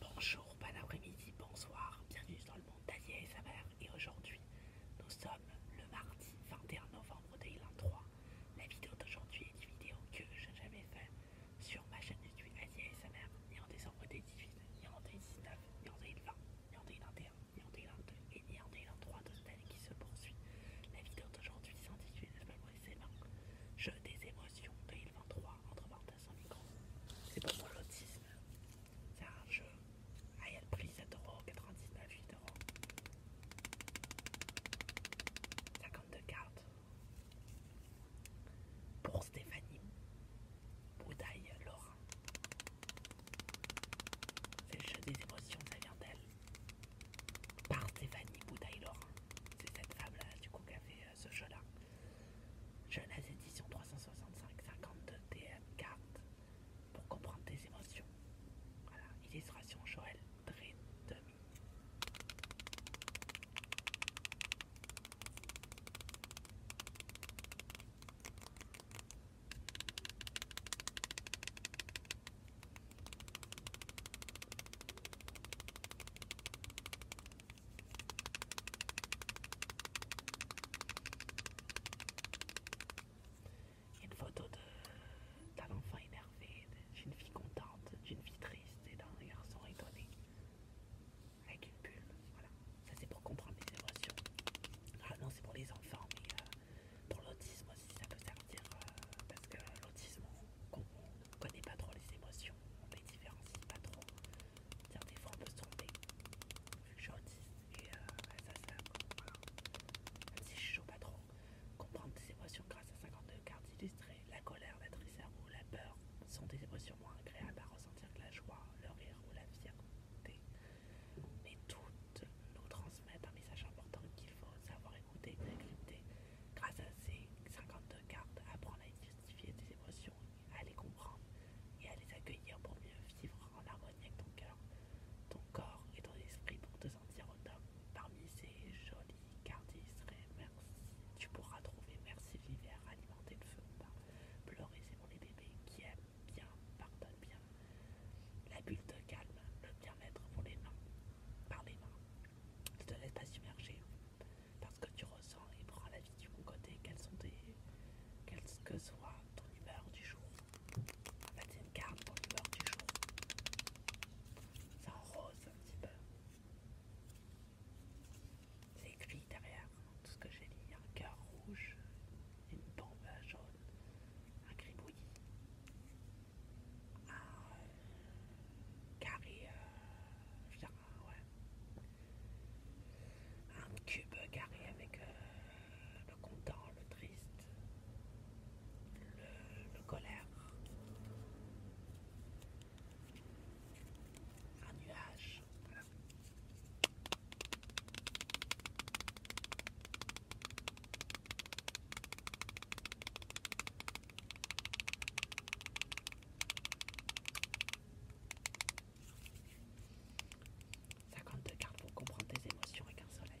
Bonjour, bon après-midi, bonsoir, bienvenue dans le monde d'Asia et sa mère. Et aujourd'hui, nous sommes le mardi 21 novembre 2023. La vidéo d'aujourd'hui est une vidéo que je n'ai jamais faite sur ma chaîne YouTube Asia et sa mère, ni en décembre 2018, ni en 2019, ni en 2020, ni en 2021, ni en 2022 et ni en 2023 de cette année qui se poursuit. La vidéo d'aujourd'hui s'intitule Jeu des émotions 2023 entre c'est pas pour l'autisme. C'est un jeu. Aïe il y a le prix 7 euros, 99, euros. 52 cartes. Pour Stéphanie. Boudaille Laurent. C'est le jeu des émotions, ça vient d'elle. Par Stéphanie Boudaille Laurent. C'est cette table là du coup qui a fait euh, ce jeu-là. Jeunesse édition 365 50 TM 4 pour comprendre tes émotions. Voilà, illustration Joël il y a une photo d'un enfant énervé, d'une fille contente, d'une fille triste et d'un garçon étonné. Avec une bulle, voilà. Ça c'est pour comprendre les émotions. Ah, non c'est pour les enfants, mais euh, pour l'autisme aussi ça peut servir. Euh, parce que l'autisme, on ne connaît pas trop les émotions on on les différencie pas trop. des fois on peut se tromper, vu que je suis autiste, et euh, Même si je joue pas trop, comprendre des émotions grâce à 52 cartes illustrées, la colère, la tristesse ou la peur sont des émotions moins agréables à ressentir que la joie, le rire ou la fierté. Mais toutes nous transmettent un message important qu'il faut savoir écouter et décrypter. Grâce à ces 52 cartes, apprendre à illustrer identifier tes émotions, à les comprendre et à les accueillir pour mieux vivre en harmonie avec ton cœur, ton corps et ton esprit pour te sentir autonome. Parmi ces jolies cartes merci, tu pourras trouver merci l'hiver, alimenter le feu, pleurer c'est pour les bébés qui aiment bien, pardonne bien, la bulle de calme, le bien-être pour les mains, par les mains. tu te laisse pas submerger parce que tu ressens et prends la vie du bon côté, quelles sont tes, quelle que soit ton humeur du jour. En fait, une carte pour l'humeur du jour. Ça en rose un petit peu. C'est écrit derrière tout ce que j'ai dit un cœur rouge, une bombe jaune, un gribouillis, un euh, carré euh, un cube carré avec euh, le content, le triste, le, colère. Un nuage. 52 cartes pour comprendre tes émotions et un soleil.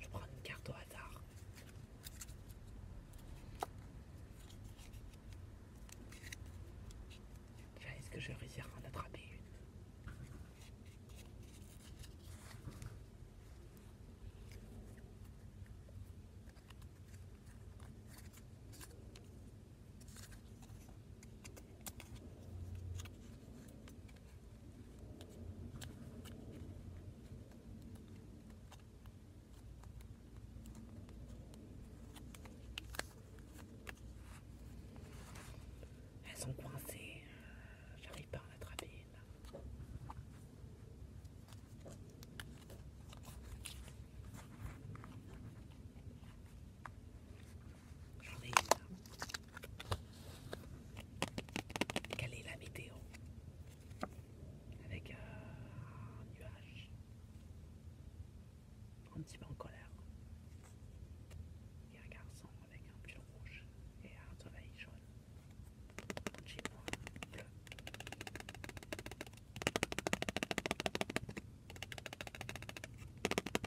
Je prends une carte au hasard. est-ce que je vais réussir à en attraper une elles sont coincées, euh, j'arrive pas à l'attraper. J'en ai Quelle est la météo Avec euh, un nuage. Un petit peu en colère. Il un garçon avec un pull rouge et un soleil jaune. Un bleu.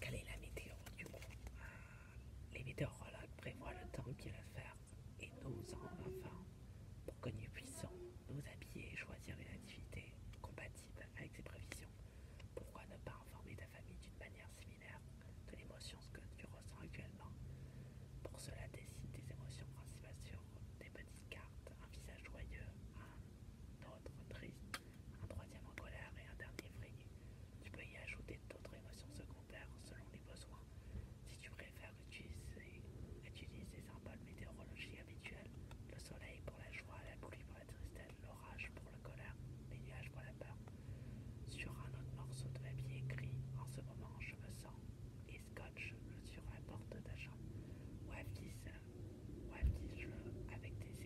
Quelle est la météo du coup euh, Les météorologues prévoient le temps qu'il va faire et nos avant pour que nous puissions nous habiller et choisir les activités compatible avec ces prévisions. Pourquoi ne pas informer ta famille d'une manière similaire de l'émotion que tu ressens actuellement Pour cela, décide tes émotions principales sur des petites cartes, un visage joyeux, un autre triste, un troisième en colère et un dernier vrille. Tu peux y ajouter d'autres émotions secondaires selon les besoins. Si tu préfères utiliser, des les symboles météorologiques habituels, le soleil pour la joie, la pluie Tristelle, l'orage pour la colère, les nuages pour la peur. Sur un autre morceau de papier écrit En ce moment, je me sens et scotch sur la porte de ta chambre. avec des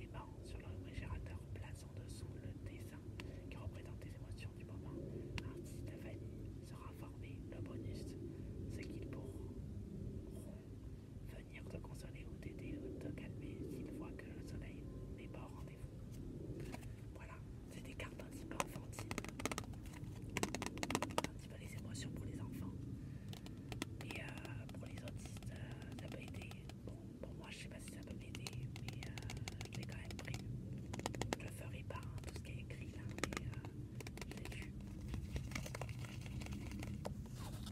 aimants sur le réfrigérateur, place en dessous le dessin qui représente les émotions du moment. Artiste ta sera formé. le bonus, ce qu'ils pourront venir te consoler ou t'aider ou te calmer s'il voit que le soleil n'est pas au rendez-vous. Voilà, c'est des cartes un petit peu enfantines, un petit peu les émotions pour les enfants. Et euh, pour les autres, euh, ça peut aider. Bon, pour moi, je sais pas si ça peut m'aider, mais euh, je l'ai quand même pris. Je le ferai pas, hein, tout ce qui est écrit là, mais euh, je l'ai vu.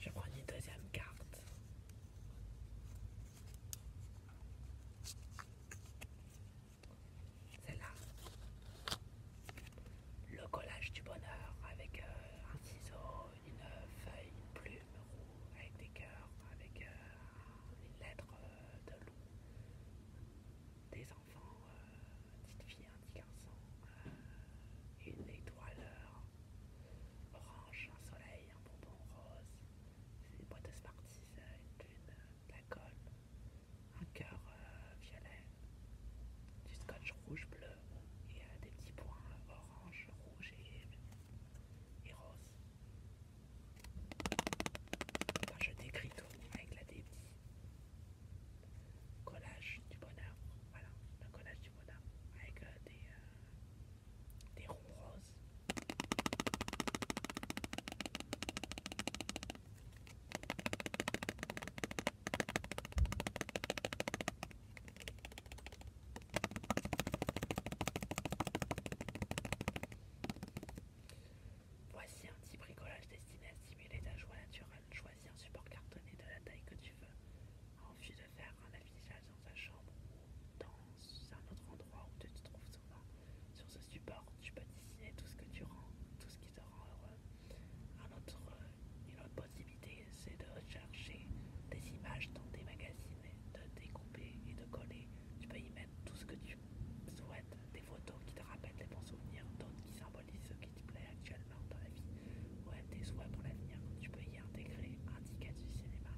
Je prends une deuxième carte. celle là. Le collage du bonheur avec euh, un ciseau, une feuille, une plume avec des cœurs, avec euh, une lettre euh, de loup, des enfants, petite fille. filles un garçon, une étoile orange, un soleil, un bonbon rose, une boîte de euh, une lune, euh, la colle, un cœur euh, violet, du scotch rouge bleu et des petits points orange, rouge et, rose. je décris tout avec la débit collage du bonheur, voilà, un collage du bonheur avec euh, euh, des, ronds roses. Voici un petit bricolage destiné à stimuler ta joie naturelle, un support cartonné de la taille que tu veux, en vue de faire un affichage dans ta chambre ou dans un autre endroit où tu te trouves souvent. Sur ce support, tu peux dessiner tout ce que tu rends, tout ce qui te rend heureux. autre, euh, une autre possibilité, c'est de rechercher des images dans des magazines, de découper et de coller. Tu peux y mettre tout ce que tu souhaites, des photos qui te rappellent les bons souvenirs, d'autres qui symbolisent les ce qui te plaît actuellement dans la vie ou à tes souhaits pour l'avenir. Tu peux y intégrer un ticket du cinéma,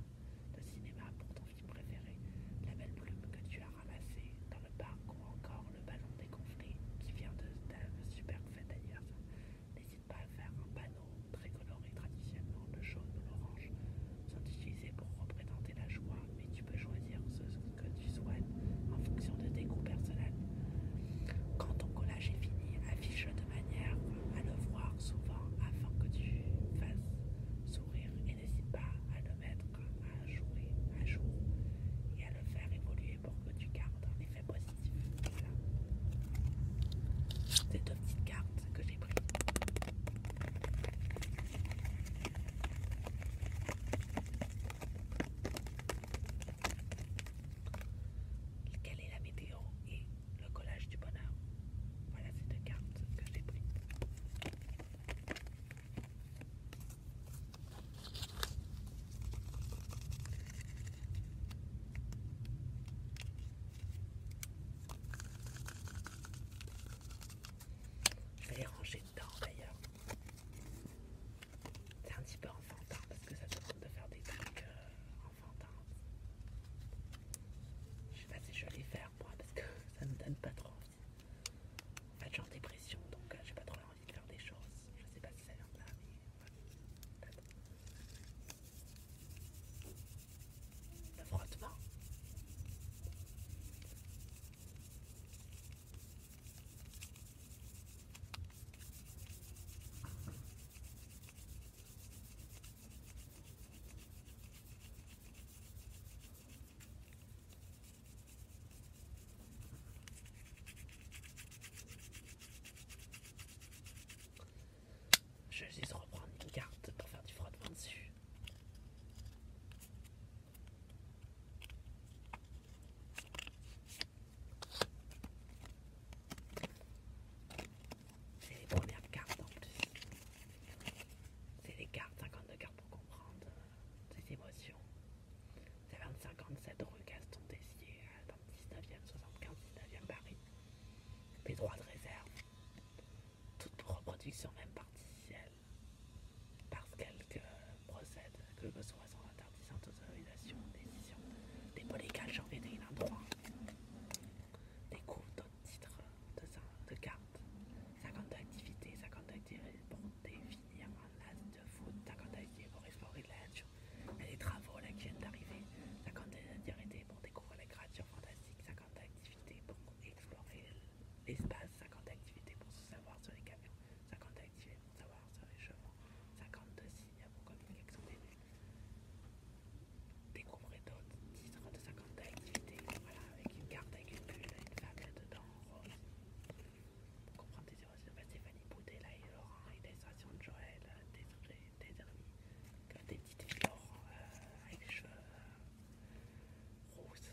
de cinéma pour ton film préféré, la belle plume que tu as ramassée dans le parc ou encore le ballon des qui vient de ta super fête d'ailleurs. N'hésite pas à faire un panneau très coloré traditionnellement, le jaune ou l'orange, sont utilisés pour représenter la joie, mais tu peux choisir ce que tu en fonction de tes goûts personnels. Quand ton collage est fini, affiche-le de manière à le voir souvent afin que tu fasses sourire et n'hésite pas à le mettre à jouer à jour et à le faire évoluer pour que tu gardes un effet positif. Voilà. C'est deux petites cartes que j'ai prises. Quelle est la météo et le collage du bonheur? Voilà cette carte que j'ai pris. Je vais les ranger dedans d'ailleurs. C'est un petit peu enfantin parce que ça semble de faire des trucs euh, enfantins. Je sais pas si je vais les faire moi parce que ça me donne pas trop envie. En fait, j'ai en dépression donc euh, j'ai pas trop envie de faire des choses. Je sais pas si ça vient de là, mais. frottement. Je vais juste reprendre une carte pour faire du frottement dessus. C'est les premières cartes en plus. C'est les cartes, 52 cartes pour comprendre euh, ces émotions. C'est 57 rue Gaston Dessier, euh, dans le 19e, 75, 19e Paris. Des droits de réserve. Toute reproduction même partielle Parce qu'elle que procède que le besoin sans interdisant sans autorisation, décision, dépôt légal, j'en Des d'autres titres de, cartes, 50 activités, 50 activités pour définir un as de foot, 50 activités pour explorer la nature les travaux qui viennent d'arriver, 50 activités pour découvrir la créatures fantastique, 50 activités pour explorer l'espace, 50 activités pour se savoir sur les camions, 50 activités savoir les cheveux. 52 signes pour qui des Des Découvrez d'autres titres de 50 d'activités. Voilà, avec une carte, avec une bulle, une femme dedans, rose. Comprendre tes c'est de bah, Stéphanie Boudet, et Laurent, et l'illustration de Joël, euh, des, des, des amis, des petits t-shirts euh, avec les cheveux euh, roses.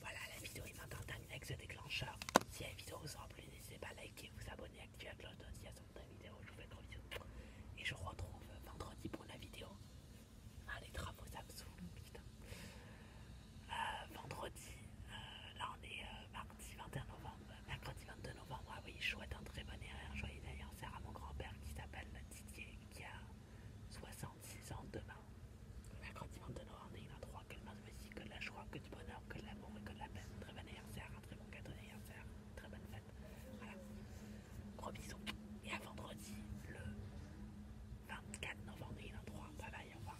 Voilà, la vidéo est maintenant terminée avec ce déclencheur. Si la vidéo vous a plu, n'hésitez pas à liker, vous abonner, activer la cloche il y a la vidéos, Je vous fais de gros Et je vous retrouve vendredi pour la vidéo. Ah, les travaux, ça me saoule, putain. Euh, vendredi. Euh, là, on est euh, mardi 21 novembre, mercredi 22 novembre. Ah oui, chouette, un très bon anniversaire, Joyeux anniversaire à mon grand-père qui s'appelle Didier, qui a 66 ans demain. Mercredi 22 novembre, il a 3 que le merci, que de la joie, que du bonheur, que de l'amour et que de la un Très bon anniversaire, un très bon cadeau d'anniversaire, très bonne fête. Voilà. Gros bisous. Et à vendredi, le 24 novembre, il a 3. Bye bye, au revoir.